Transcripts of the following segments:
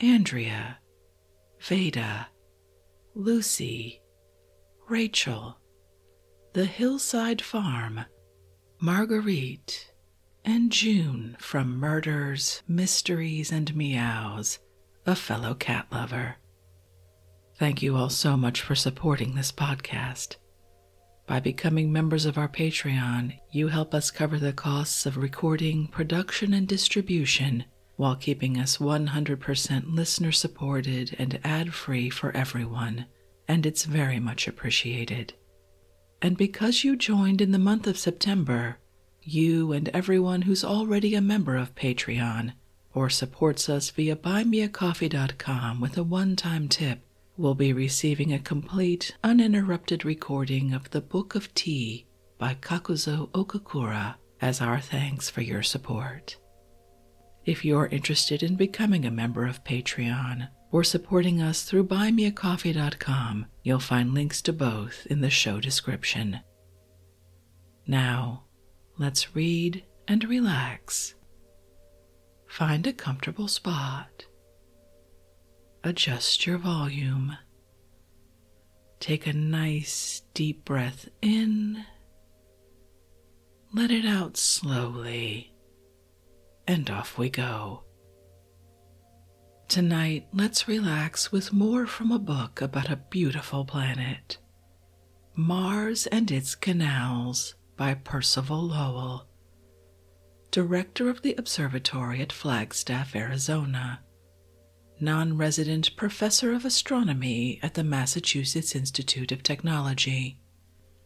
Andrea, Veda, Lucy, Rachel, the Hillside Farm, Marguerite, and June from Murders, Mysteries, and Meows, a fellow cat lover. Thank you all so much for supporting this podcast. By becoming members of our Patreon, you help us cover the costs of recording, production, and distribution while keeping us 100% listener supported and ad free for everyone, and it's very much appreciated. And because you joined in the month of September, you and everyone who's already a member of Patreon or supports us via buymeacoffee.com with a one time tip will be receiving a complete uninterrupted recording of the Book of Tea by Kakuzo Okakura as our thanks for your support. If you're interested in becoming a member of Patreon or supporting us through buymeacoffee.com, you'll find links to both in the show description. Now, let's read and relax. Find a comfortable spot adjust your volume. Take a nice deep breath in, let it out slowly, and off we go. Tonight, let's relax with more from a book about a beautiful planet Mars and Its Canals by Percival Lowell, Director of the Observatory at Flagstaff, Arizona, non resident professor of astronomy at the Massachusetts Institute of Technology,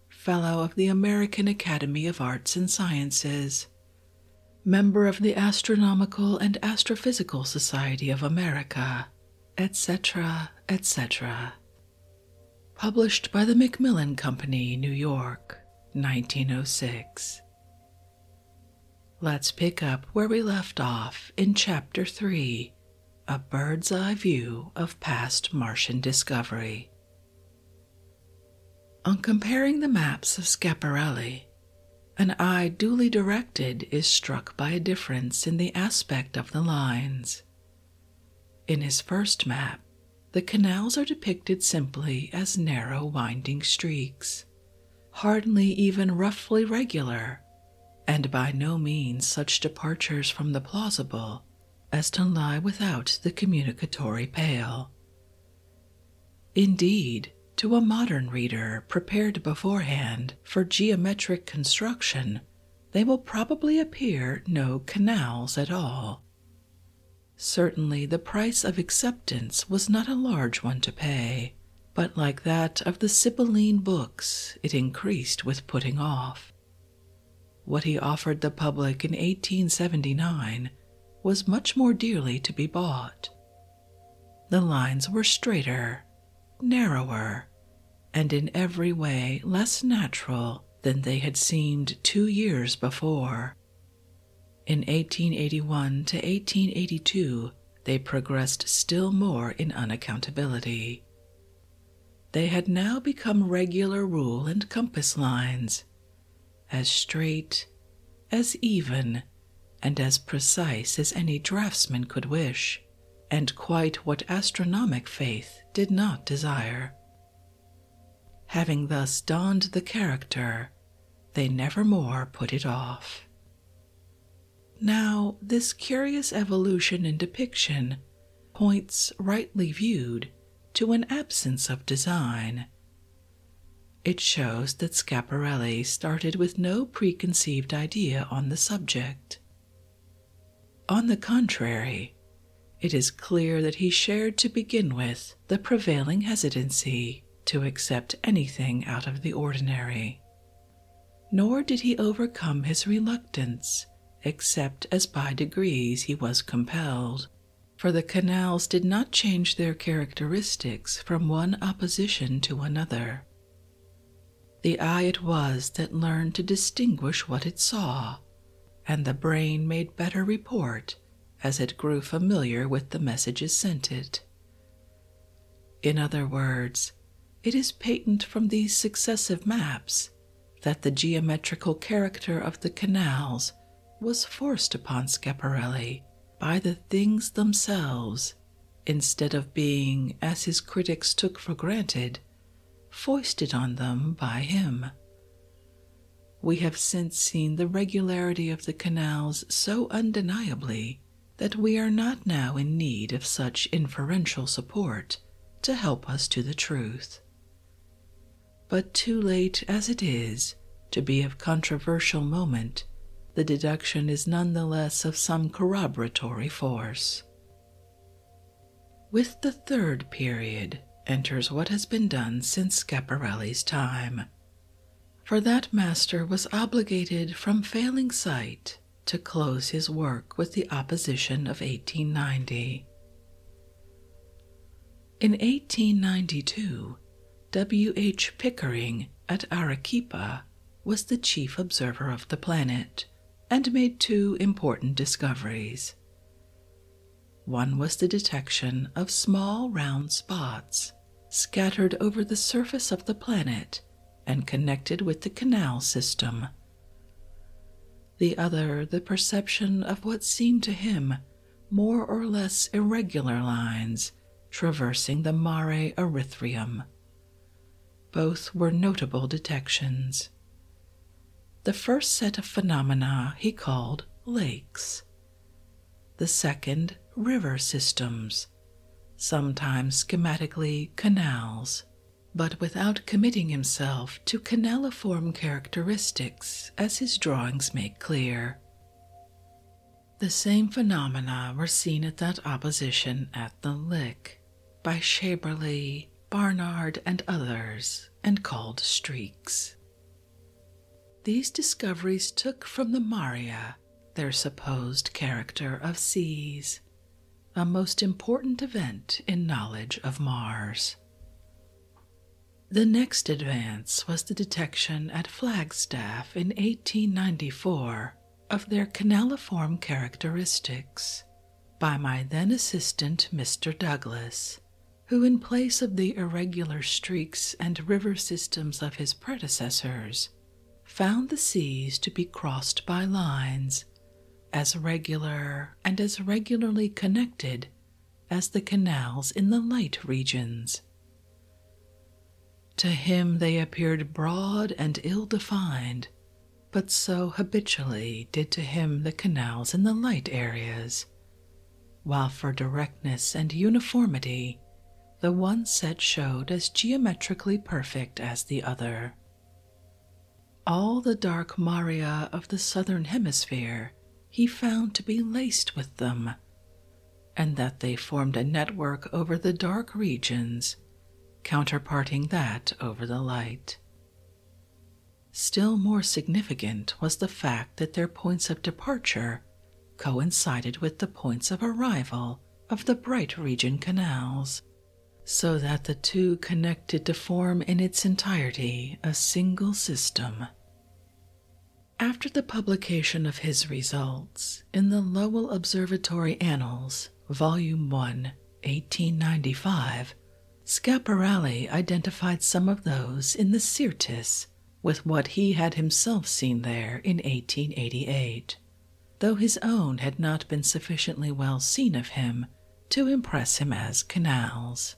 Fellow of the American Academy of Arts and Sciences, member of the Astronomical and Astrophysical Society of America, etc., etc. Published by the Macmillan Company, New York, 1906. Let's pick up where we left off in Chapter 3 A Bird's Eye View of Past Martian Discovery. On comparing the maps of Scaparelli, an eye duly directed is struck by a difference in the aspect of the lines. In his first map, the canals are depicted simply as narrow, winding streaks, hardly even roughly regular, and by no means such departures from the plausible as to lie without the communicatory pale. Indeed, to a modern reader prepared beforehand for geometric construction, they will probably appear no canals at all. Certainly, the price of acceptance was not a large one to pay, but like that of the Sibylline books, it increased with putting off. What he offered the public in 1879 was much more dearly to be bought. The lines were straighter, narrower, and in every way less natural than they had seemed two years before. In 1881 to 1882, they progressed still more in unaccountability. They had now become regular rule and compass lines, as straight, as even, and as precise as any draftsman could wish, and quite what astronomic faith did not desire. Having thus donned the character, they never more put it off. Now, this curious evolution in depiction points, rightly viewed, to an absence of design. It shows that Schiaparelli started with no preconceived idea on the subject. On the contrary, it is clear that he shared to begin with the prevailing hesitancy to accept anything out of the ordinary. Nor did he overcome his reluctance, except as by degrees he was compelled, for the canals did not change their characteristics from one opposition to another. The eye it was that learned to distinguish what it saw, and the brain made better report as it grew familiar with the messages sent it. In other words, it is patent from these successive maps that the geometrical character of the canals was forced upon Schiaparelli by the things themselves instead of being, as his critics took for granted, foisted on them by him. We have since seen the regularity of the canals so undeniably that we are not now in need of such inferential support to help us to the truth. But too late as it is to be of controversial moment, the deduction is none the less of some corroboratory force. With the third period, enters what has been done since Schiaparelli's time. For that master was obligated from failing sight to close his work with the opposition of 1890. In 1892, W. H. Pickering at Arequipa was the chief observer of the planet and made two important discoveries. One was the detection of small round spots scattered over the surface of the planet and connected with the canal system. The other, the perception of what seemed to him more or less irregular lines traversing the mare erythrium. Both were notable detections. The first set of phenomena he called lakes, the second, river systems, sometimes schematically canals, but without committing himself to canaliform characteristics, as his drawings make clear. The same phenomena were seen at that opposition at the Lick by Shaberley, Barnard, and others, and called streaks. These discoveries took from the Maria their supposed character of seas, a most important event in knowledge of Mars. The next advance was the detection at Flagstaff in 1894 of their canaliform characteristics by my then assistant Mr. Douglas who, in place of the irregular streaks and river systems of his predecessors, found the seas to be crossed by lines as regular and as regularly connected as the canals in the light regions. To him they appeared broad and ill defined, but so habitually did to him the canals in the light areas while for directness and uniformity, the one set showed as geometrically perfect as the other. All the dark maria of the southern hemisphere he found to be laced with them, and that they formed a network over the dark regions, counterparting that over the light. Still more significant was the fact that their points of departure coincided with the points of arrival of the Bright Region canals, so that the two connected to form in its entirety a single system. After the publication of his results in the Lowell Observatory Annals, Volume 1, 1895, Scaparelli identified some of those in the Syrtis with what he had himself seen there in 1888, though his own had not been sufficiently well seen of him to impress him as canals.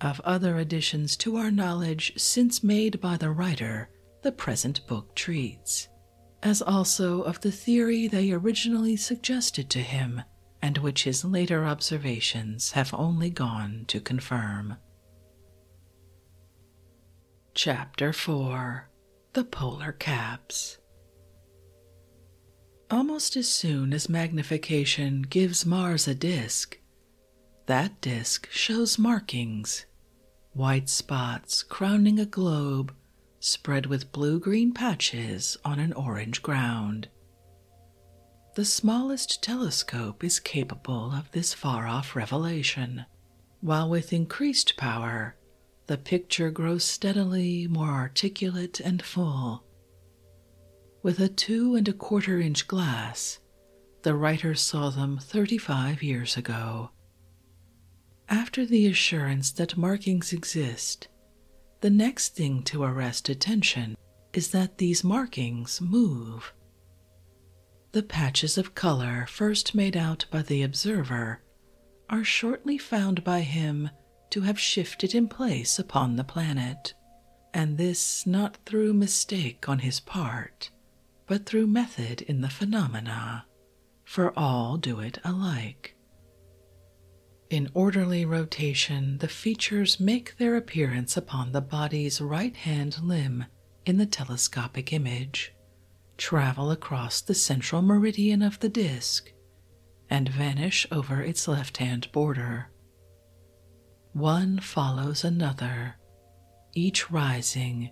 Of other additions to our knowledge since made by the writer, the present book treats, as also of the theory they originally suggested to him and which his later observations have only gone to confirm. Chapter 4 The Polar Caps Almost as soon as magnification gives Mars a disk, that disk shows markings white spots crowning a globe spread with blue green patches on an orange ground. The smallest telescope is capable of this far off revelation, while with increased power, the picture grows steadily more articulate and full. With a two and a quarter inch glass, the writer saw them 35 years ago. After the assurance that markings exist, the next thing to arrest attention is that these markings move. The patches of color first made out by the observer are shortly found by him to have shifted in place upon the planet, and this not through mistake on his part, but through method in the phenomena, for all do it alike. In orderly rotation, the features make their appearance upon the body's right hand limb in the telescopic image, travel across the central meridian of the disk, and vanish over its left hand border. One follows another, each rising,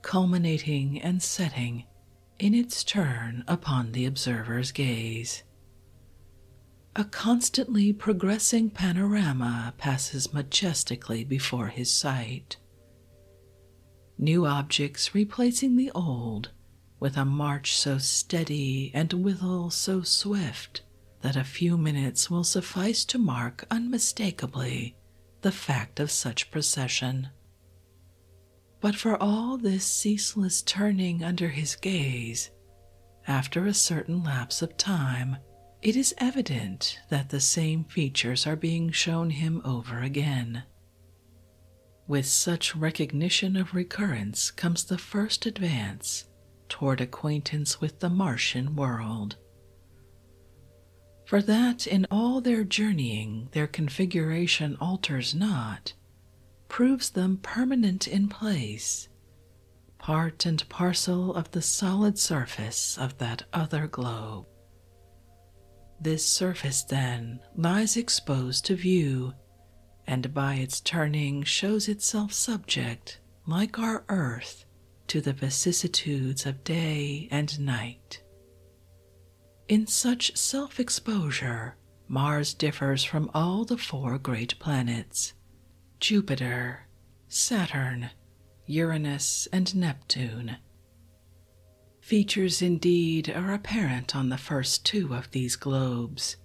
culminating, and setting in its turn upon the observer's gaze. A constantly progressing panorama passes majestically before his sight. New objects replacing the old, with a march so steady and withal so swift that a few minutes will suffice to mark unmistakably the fact of such procession. But for all this ceaseless turning under his gaze, after a certain lapse of time, it is evident that the same features are being shown him over again. With such recognition of recurrence comes the first advance toward acquaintance with the Martian world. For that in all their journeying their configuration alters not, proves them permanent in place, part and parcel of the solid surface of that other globe. This surface, then, lies exposed to view, and by its turning shows itself subject, like our earth, to the vicissitudes of day and night. In such self exposure, Mars differs from all the four great planets Jupiter, Saturn, Uranus, and Neptune. Features indeed are apparent on the first two of these globes,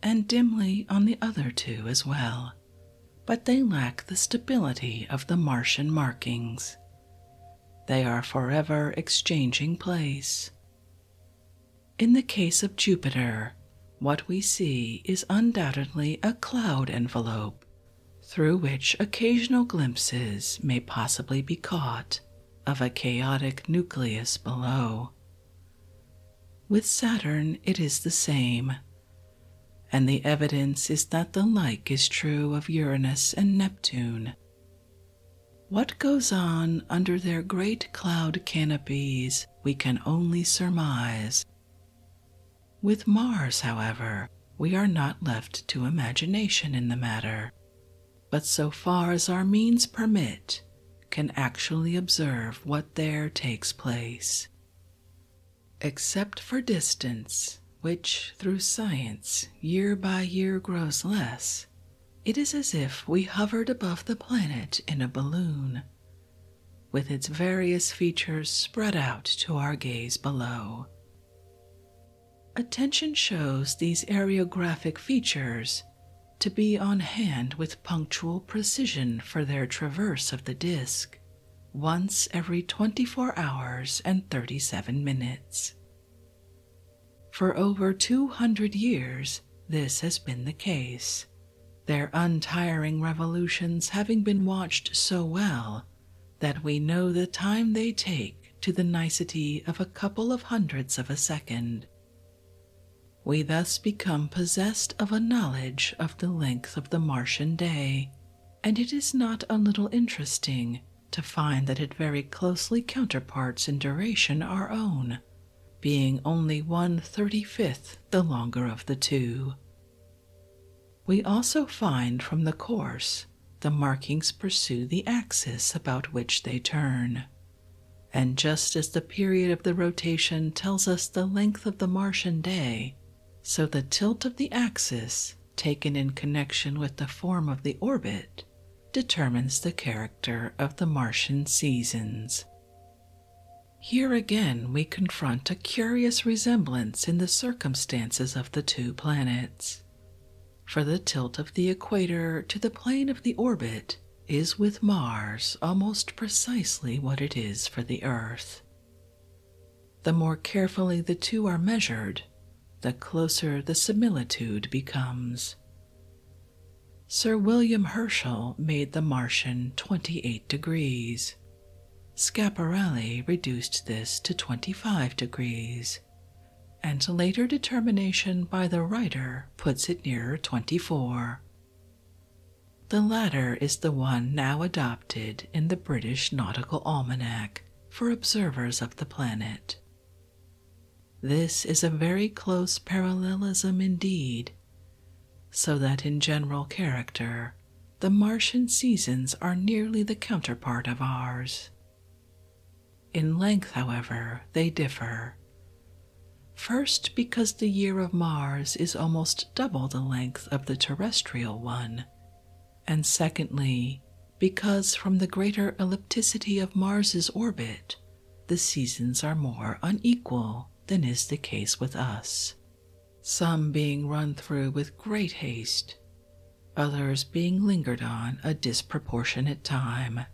and dimly on the other two as well, but they lack the stability of the Martian markings. They are forever exchanging place. In the case of Jupiter, what we see is undoubtedly a cloud envelope through which occasional glimpses may possibly be caught of a chaotic nucleus below. With Saturn, it is the same, and the evidence is that the like is true of Uranus and Neptune. What goes on under their great cloud canopies we can only surmise. With Mars, however, we are not left to imagination in the matter, but so far as our means permit, can actually observe what there takes place. Except for distance, which through science year by year grows less, it is as if we hovered above the planet in a balloon, with its various features spread out to our gaze below. Attention shows these areographic features to be on hand with punctual precision for their traverse of the disk once every 24 hours and 37 minutes. For over 200 years, this has been the case their untiring revolutions having been watched so well that we know the time they take to the nicety of a couple of hundredths of a second. We thus become possessed of a knowledge of the length of the Martian day, and it is not a little interesting to find that it very closely counterparts in duration our own being only one thirty fifth the longer of the two. We also find from the course the markings pursue the axis about which they turn. And just as the period of the rotation tells us the length of the Martian day, so the tilt of the axis, taken in connection with the form of the orbit, determines the character of the Martian seasons. Here again, we confront a curious resemblance in the circumstances of the two planets. For the tilt of the equator to the plane of the orbit is with Mars almost precisely what it is for the Earth. The more carefully the two are measured, the closer the similitude becomes. Sir William Herschel made the Martian 28 degrees. Schiaparelli reduced this to 25 degrees, and later determination by the writer puts it nearer 24. The latter is the one now adopted in the British Nautical Almanac for observers of the planet. This is a very close parallelism indeed, so that in general character the Martian seasons are nearly the counterpart of ours. In length, however, they differ. First, because the year of Mars is almost double the length of the terrestrial one, and secondly, because from the greater ellipticity of Mars's orbit, the seasons are more unequal than is the case with us, some being run through with great haste, others being lingered on a disproportionate time.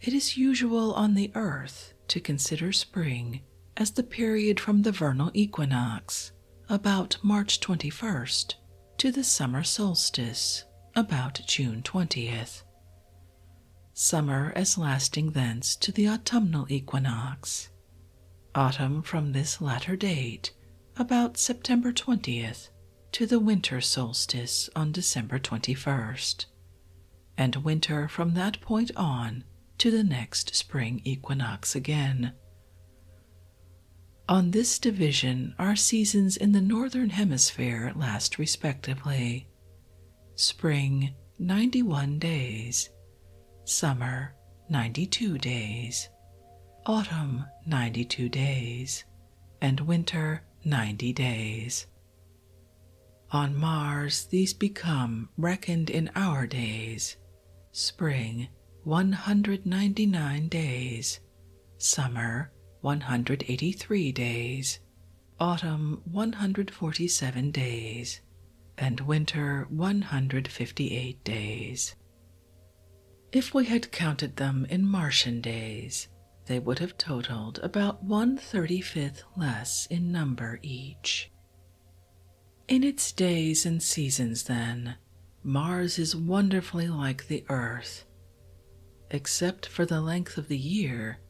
It is usual on the earth to consider spring as the period from the vernal equinox, about March 21st, to the summer solstice, about June 20th, summer as lasting thence to the autumnal equinox, autumn from this latter date, about September 20th, to the winter solstice on December 21st, and winter from that point on to the next spring equinox again. On this division, our seasons in the northern hemisphere last respectively spring 91 days, summer 92 days, autumn 92 days, and winter 90 days. On Mars, these become reckoned in our days spring 199 days, summer 183 days, autumn 147 days, and winter 158 days. If we had counted them in Martian days, they would have totaled about one thirty fifth less in number each. In its days and seasons, then, Mars is wonderfully like the Earth Except for the length of the year,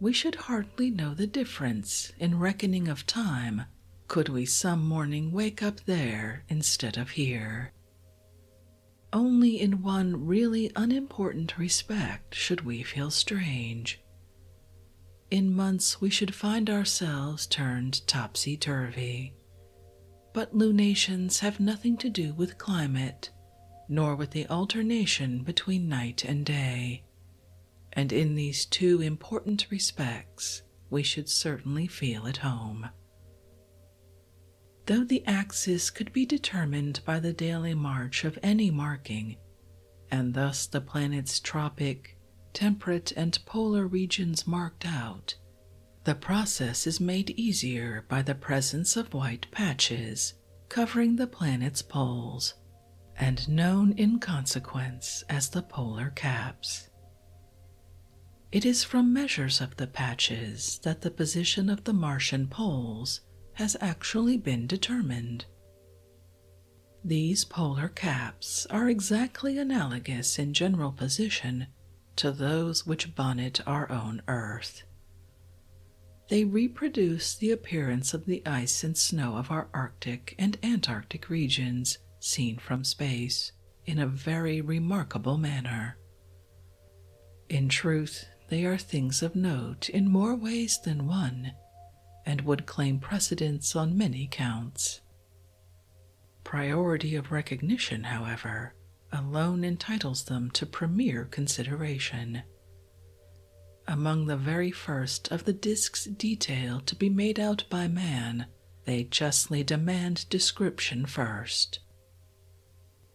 we should hardly know the difference in reckoning of time could we some morning wake up there instead of here. Only in one really unimportant respect should we feel strange. In months, we should find ourselves turned topsy turvy. But lunations have nothing to do with climate nor with the alternation between night and day. And in these two important respects, we should certainly feel at home. Though the axis could be determined by the daily march of any marking, and thus the planet's tropic, temperate, and polar regions marked out, the process is made easier by the presence of white patches covering the planet's poles and known in consequence as the polar caps. It is from measures of the patches that the position of the Martian poles has actually been determined. These polar caps are exactly analogous in general position to those which bonnet our own Earth. They reproduce the appearance of the ice and snow of our Arctic and Antarctic regions seen from space in a very remarkable manner. In truth, they are things of note in more ways than one and would claim precedence on many counts. Priority of recognition, however, alone entitles them to premier consideration. Among the very first of the disk's detail to be made out by man, they justly demand description first.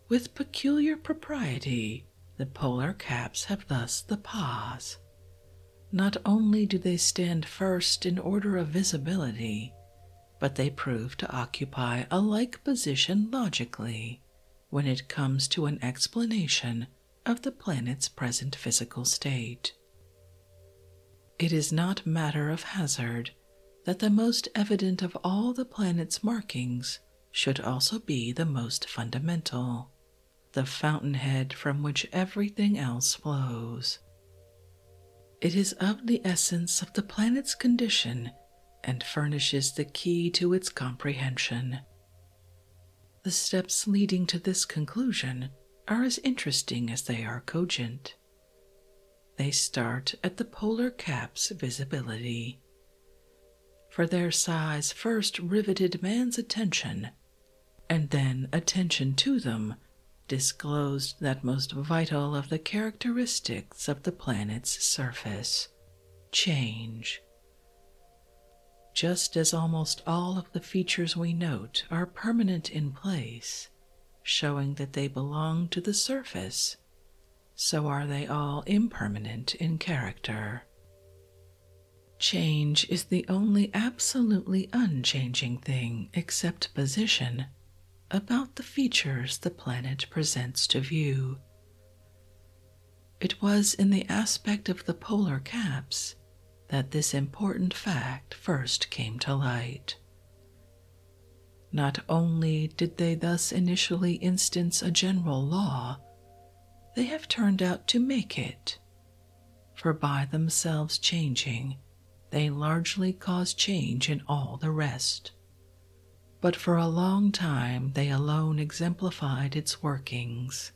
With peculiar propriety, the polar caps have thus the pause. Not only do they stand first in order of visibility, but they prove to occupy a like position logically when it comes to an explanation of the planet's present physical state. It is not matter of hazard that the most evident of all the planet's markings should also be the most fundamental, the fountainhead from which everything else flows. It is of the essence of the planet's condition and furnishes the key to its comprehension. The steps leading to this conclusion are as interesting as they are cogent. They start at the polar cap's visibility. For their size first riveted man's attention, and then attention to them disclosed that most vital of the characteristics of the planet's surface change. Just as almost all of the features we note are permanent in place, showing that they belong to the surface, so are they all impermanent in character. Change is the only absolutely unchanging thing except position about the features the planet presents to view, it was in the aspect of the polar caps that this important fact first came to light. Not only did they thus initially instance a general law, they have turned out to make it, for by themselves changing, they largely cause change in all the rest but for a long time they alone exemplified its workings.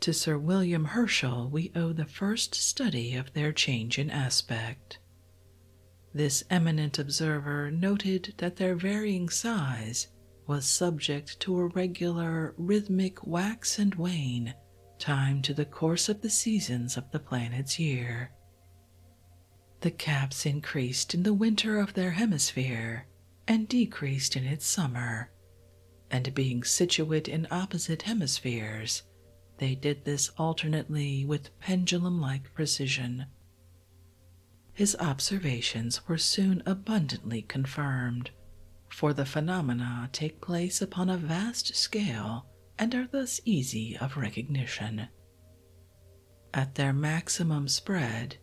To Sir William Herschel we owe the first study of their change in aspect. This eminent observer noted that their varying size was subject to a regular rhythmic wax and wane timed to the course of the seasons of the planet's year. The caps increased in the winter of their hemisphere and decreased in its summer, and being situate in opposite hemispheres, they did this alternately with pendulum like precision. His observations were soon abundantly confirmed, for the phenomena take place upon a vast scale and are thus easy of recognition. At their maximum spread,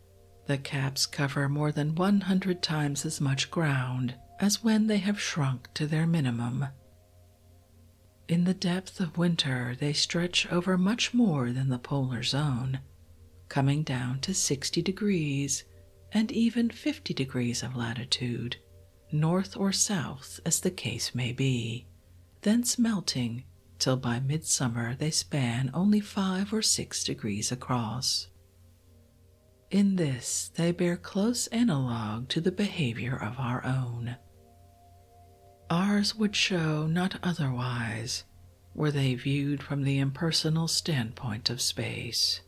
the caps cover more than 100 times as much ground as when they have shrunk to their minimum. In the depth of winter, they stretch over much more than the polar zone, coming down to 60 degrees and even 50 degrees of latitude, north or south as the case may be, thence melting till by midsummer they span only five or six degrees across. In this they bear close analogue to the behavior of our own. Ours would show not otherwise were they viewed from the impersonal standpoint of space.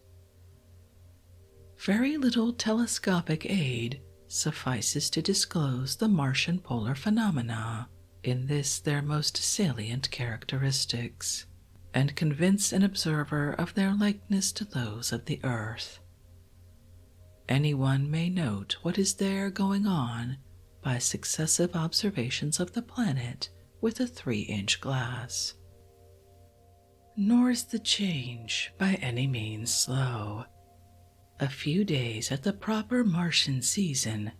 Very little telescopic aid suffices to disclose the Martian polar phenomena in this their most salient characteristics, and convince an observer of their likeness to those of the Earth. Any one may note what is there going on by successive observations of the planet with a three inch glass. Nor is the change by any means slow a few days at the proper Martian season,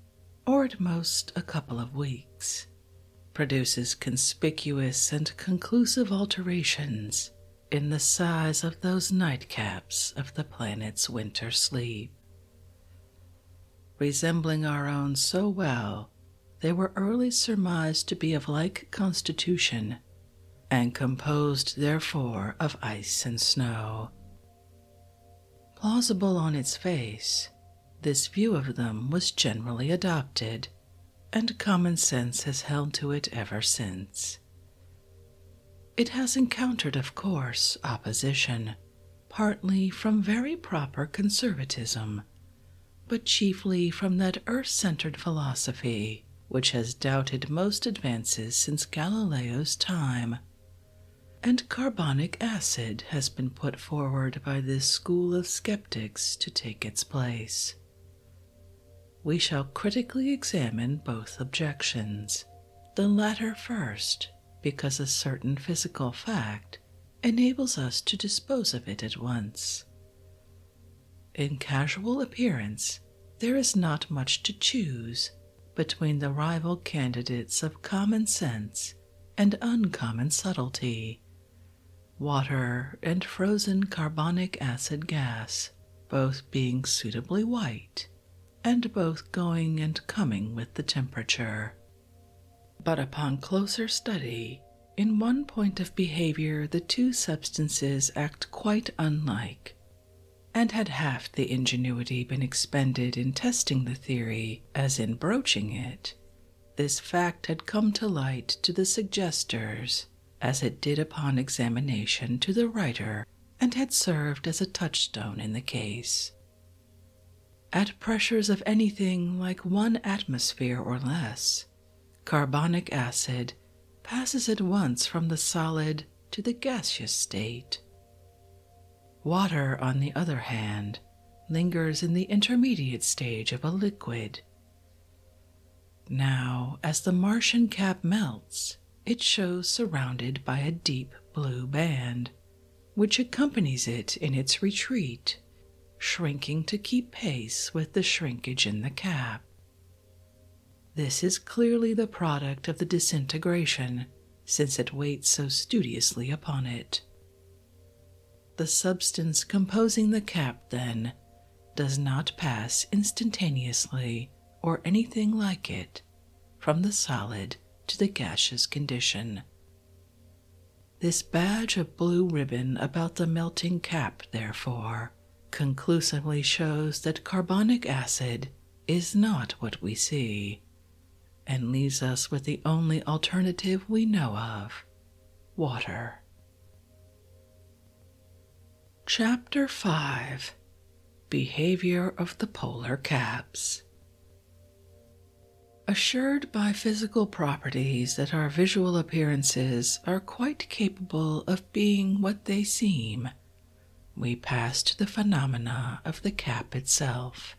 or at most a couple of weeks, produces conspicuous and conclusive alterations in the size of those nightcaps of the planet's winter sleep. Resembling our own so well, they were early surmised to be of like constitution, and composed therefore of ice and snow, Plausible on its face, this view of them was generally adopted, and common sense has held to it ever since. It has encountered, of course, opposition, partly from very proper conservatism, but chiefly from that earth centered philosophy which has doubted most advances since Galileo's time and carbonic acid has been put forward by this school of skeptics to take its place. We shall critically examine both objections, the latter first, because a certain physical fact enables us to dispose of it at once. In casual appearance, there is not much to choose between the rival candidates of common sense and uncommon subtlety. Water and frozen carbonic acid gas, both being suitably white, and both going and coming with the temperature. But upon closer study, in one point of behavior, the two substances act quite unlike and had half the ingenuity been expended in testing the theory as in broaching it, this fact had come to light to the suggestors as it did upon examination to the writer and had served as a touchstone in the case. At pressures of anything like one atmosphere or less, carbonic acid passes at once from the solid to the gaseous state. Water, on the other hand, lingers in the intermediate stage of a liquid. Now, as the Martian cap melts, it shows surrounded by a deep blue band, which accompanies it in its retreat, shrinking to keep pace with the shrinkage in the cap. This is clearly the product of the disintegration, since it waits so studiously upon it. The substance composing the cap, then, does not pass instantaneously or anything like it from the solid to the gaseous condition. This badge of blue ribbon about the melting cap, therefore, conclusively shows that carbonic acid is not what we see and leaves us with the only alternative we know of water. Chapter 5 Behavior of the Polar Caps Assured by physical properties that our visual appearances are quite capable of being what they seem, we pass to the phenomena of the cap itself.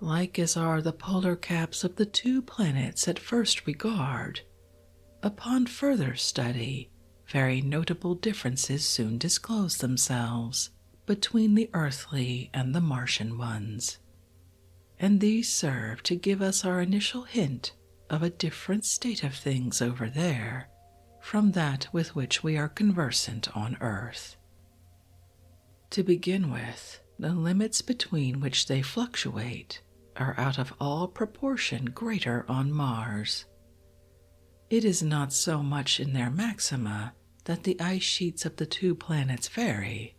Like as are the polar caps of the two planets at first regard, upon further study, very notable differences soon disclose themselves between the earthly and the Martian ones, and these serve to give us our initial hint of a different state of things over there from that with which we are conversant on earth. To begin with, the limits between which they fluctuate are out of all proportion greater on Mars. It is not so much in their maxima that the ice sheets of the two planets vary.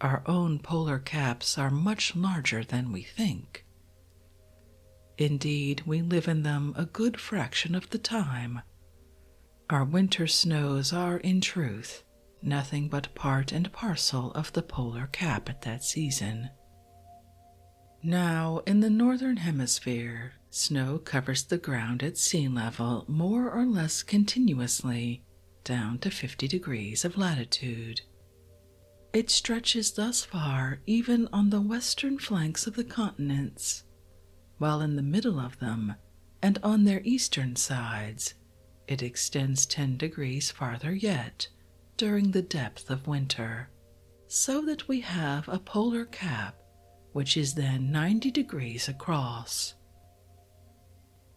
Our own polar caps are much larger than we think, Indeed, we live in them a good fraction of the time. Our winter snows are, in truth, nothing but part and parcel of the polar cap at that season. Now, in the northern hemisphere, snow covers the ground at sea level more or less continuously down to 50 degrees of latitude. It stretches thus far even on the western flanks of the continents, while in the middle of them and on their eastern sides it extends 10 degrees farther yet during the depth of winter, so that we have a polar cap which is then 90 degrees across.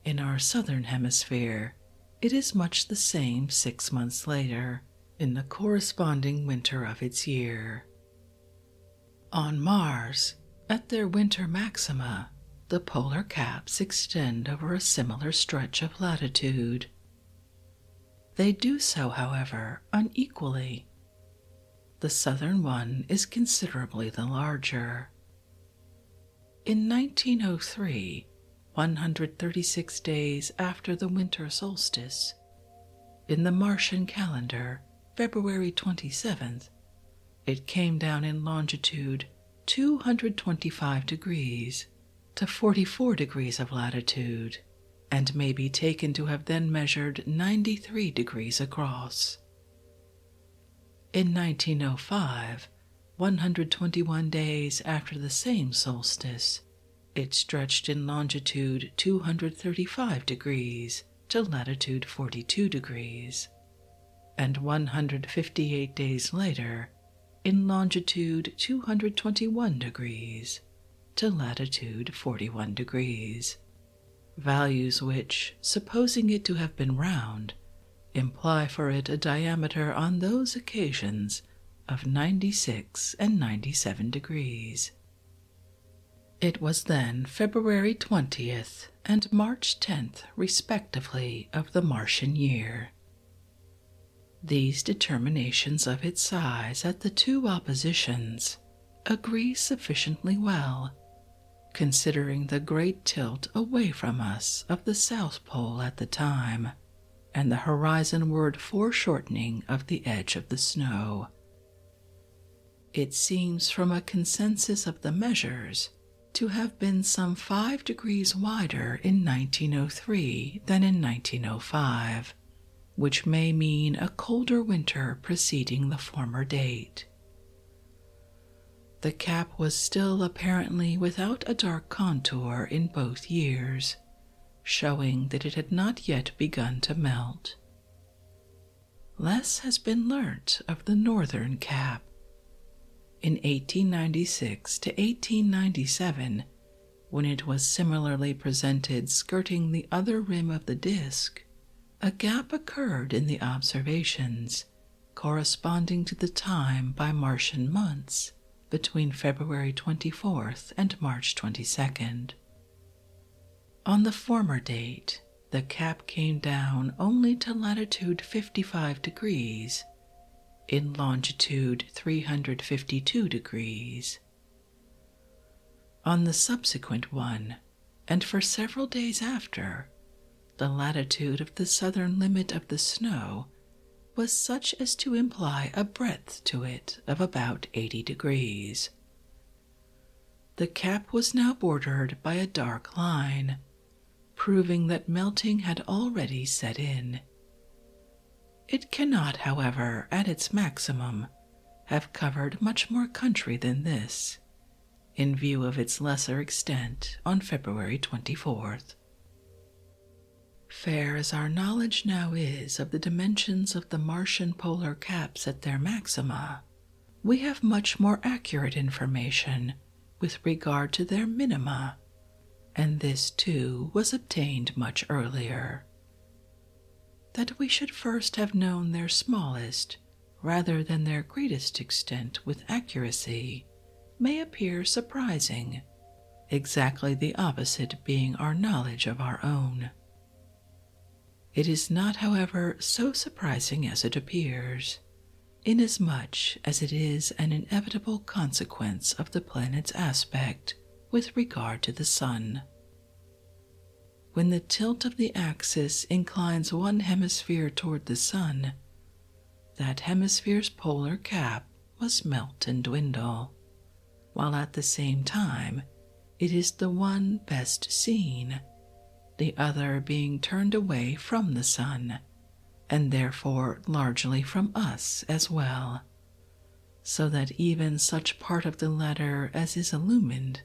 In our southern hemisphere, it is much the same six months later in the corresponding winter of its year. On Mars, at their winter maxima, the polar caps extend over a similar stretch of latitude. They do so, however, unequally. The southern one is considerably the larger. In 1903, 136 days after the winter solstice. In the Martian calendar, February 27th, it came down in longitude 225 degrees to 44 degrees of latitude and may be taken to have then measured 93 degrees across. In 1905, 121 days after the same solstice, it stretched in longitude 235 degrees to latitude 42 degrees, and 158 days later in longitude 221 degrees to latitude 41 degrees. Values which, supposing it to have been round, imply for it a diameter on those occasions of 96 and 97 degrees. It was then February 20th and March 10th, respectively, of the Martian year. These determinations of its size at the two oppositions agree sufficiently well, considering the great tilt away from us of the South Pole at the time and the horizonward foreshortening of the edge of the snow. It seems from a consensus of the measures to have been some five degrees wider in 1903 than in 1905, which may mean a colder winter preceding the former date. The cap was still apparently without a dark contour in both years, showing that it had not yet begun to melt. Less has been learnt of the northern cap. In 1896 to 1897, when it was similarly presented skirting the other rim of the disk, a gap occurred in the observations corresponding to the time by Martian months between February 24th and March 22nd. On the former date, the cap came down only to latitude 55 degrees in longitude 352 degrees. On the subsequent one, and for several days after, the latitude of the southern limit of the snow was such as to imply a breadth to it of about 80 degrees. The cap was now bordered by a dark line, proving that melting had already set in. It cannot, however, at its maximum, have covered much more country than this, in view of its lesser extent on February 24th earth. Fair as our knowledge now is of the dimensions of the Martian polar caps at their maxima, we have much more accurate information with regard to their minima, and this too was obtained much earlier. That we should first have known their smallest rather than their greatest extent with accuracy may appear surprising exactly the opposite being our knowledge of our own. It is not, however, so surprising as it appears, inasmuch as it is an inevitable consequence of the planet's aspect with regard to the sun. When the tilt of the axis inclines one hemisphere toward the sun, that hemisphere's polar cap must melt and dwindle, while at the same time it is the one best seen, the other being turned away from the sun, and therefore largely from us as well, so that even such part of the letter as is illumined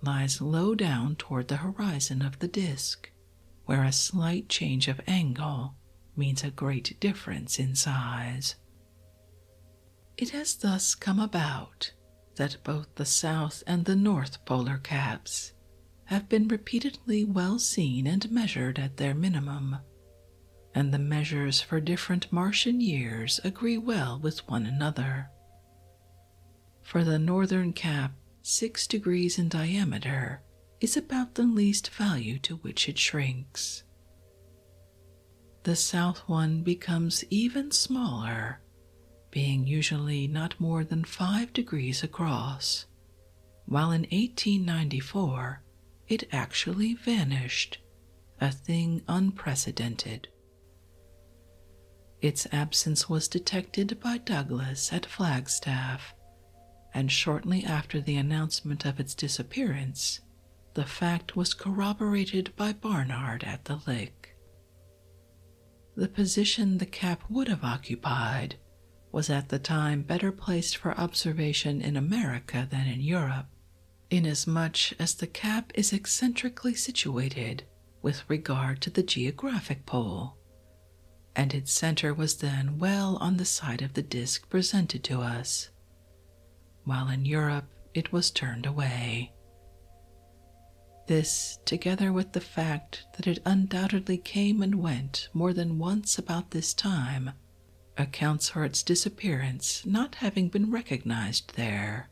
lies low down toward the horizon of the disk, where a slight change of angle means a great difference in size. It has thus come about that both the south and the north polar caps have been repeatedly well seen and measured at their minimum, and the measures for different Martian years agree well with one another. For the northern cap, six degrees in diameter is about the least value to which it shrinks. The south one becomes even smaller, being usually not more than five degrees across, while in 1894 it actually vanished, a thing unprecedented. Its absence was detected by Douglas at Flagstaff and shortly after the announcement of its disappearance, the fact was corroborated by Barnard at the lake. The position the cap would have occupied was at the time better placed for observation in America than in Europe, inasmuch as the cap is eccentrically situated with regard to the geographic pole, and its center was then well on the side of the disk presented to us, while in Europe it was turned away. This, together with the fact that it undoubtedly came and went more than once about this time, accounts for its disappearance not having been recognized there,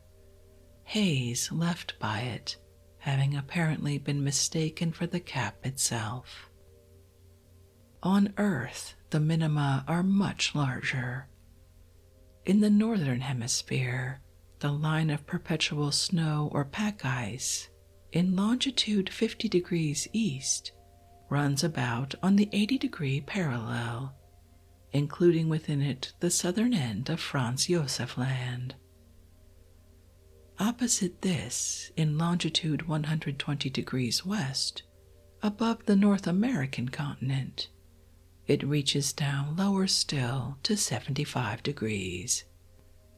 haze left by it having apparently been mistaken for the cap itself. On Earth, the minima are much larger. In the northern hemisphere, the line of perpetual snow or pack ice in longitude 50 degrees east runs about on the 80 degree parallel, including within it the southern end of Franz Josef Land. Opposite this, in longitude 120 degrees west, above the North American continent. It reaches down lower still to 75 degrees,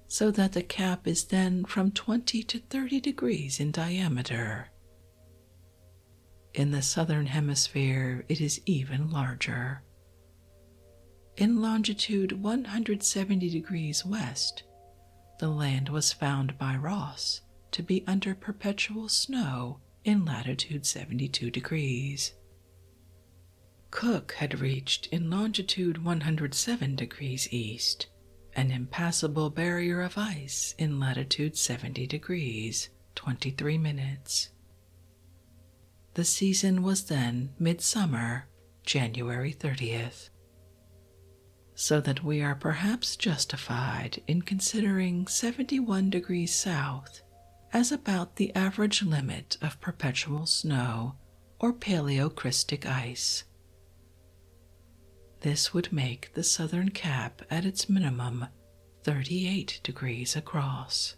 so that the cap is then from 20 to 30 degrees in diameter. In the southern hemisphere, it is even larger. In longitude 170 degrees west, the land was found by Ross to be under perpetual snow in latitude 72 degrees. Cook had reached in longitude 107 degrees east an impassable barrier of ice in latitude 70 degrees 23 minutes. The season was then midsummer, January 30th so that we are perhaps justified in considering 71 degrees south as about the average limit of perpetual snow or paleocrystic ice. This would make the southern cap at its minimum 38 degrees across.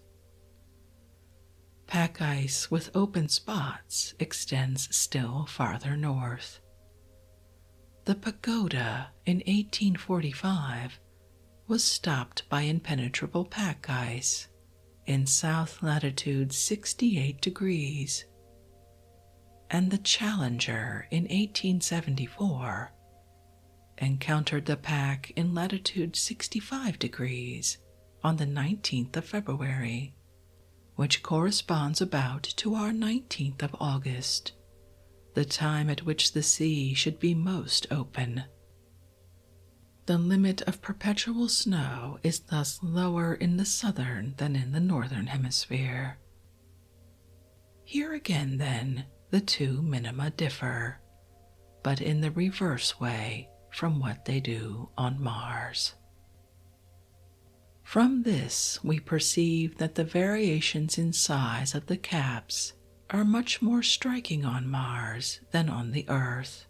Pack ice with open spots extends still farther north. The pagoda in 1845 was stopped by impenetrable pack ice in south latitude 68 degrees, and the Challenger in 1874 encountered the pack in latitude 65 degrees on the 19th of February which corresponds about to our 19th of August, the time at which the sea should be most open. The limit of perpetual snow is thus lower in the southern than in the northern hemisphere. Here again, then, the two minima differ, but in the reverse way from what they do on Mars. From this, we perceive that the variations in size of the caps are much more striking on Mars than on the Earth,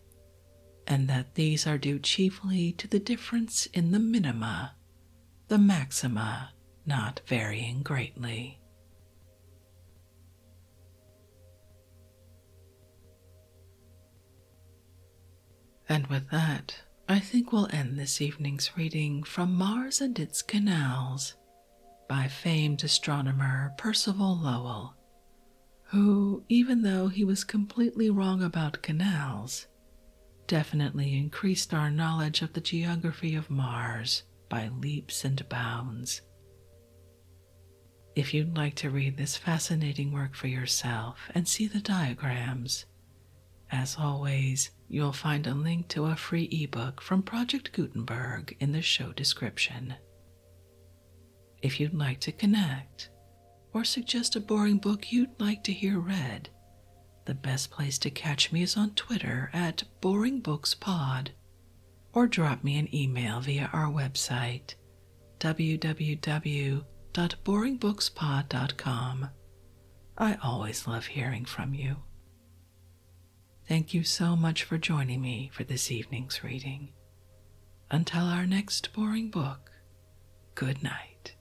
and that these are due chiefly to the difference in the minima, the maxima not varying greatly. And with that, I think we'll end this evening's reading from Mars and Its Canals by famed astronomer Percival Lowell, who, even though he was completely wrong about canals, definitely increased our knowledge of the geography of Mars by leaps and bounds. If you'd like to read this fascinating work for yourself and see the diagrams, as always, you'll find a link to a free ebook from Project Gutenberg in the show description. If you'd like to connect or suggest a boring book you'd like to hear read, the best place to catch me is on Twitter at BoringBooksPod or drop me an email via our website www.boringbookspod.com. I always love hearing from you. Thank you so much for joining me for this evening's reading. Until our next boring book, good night.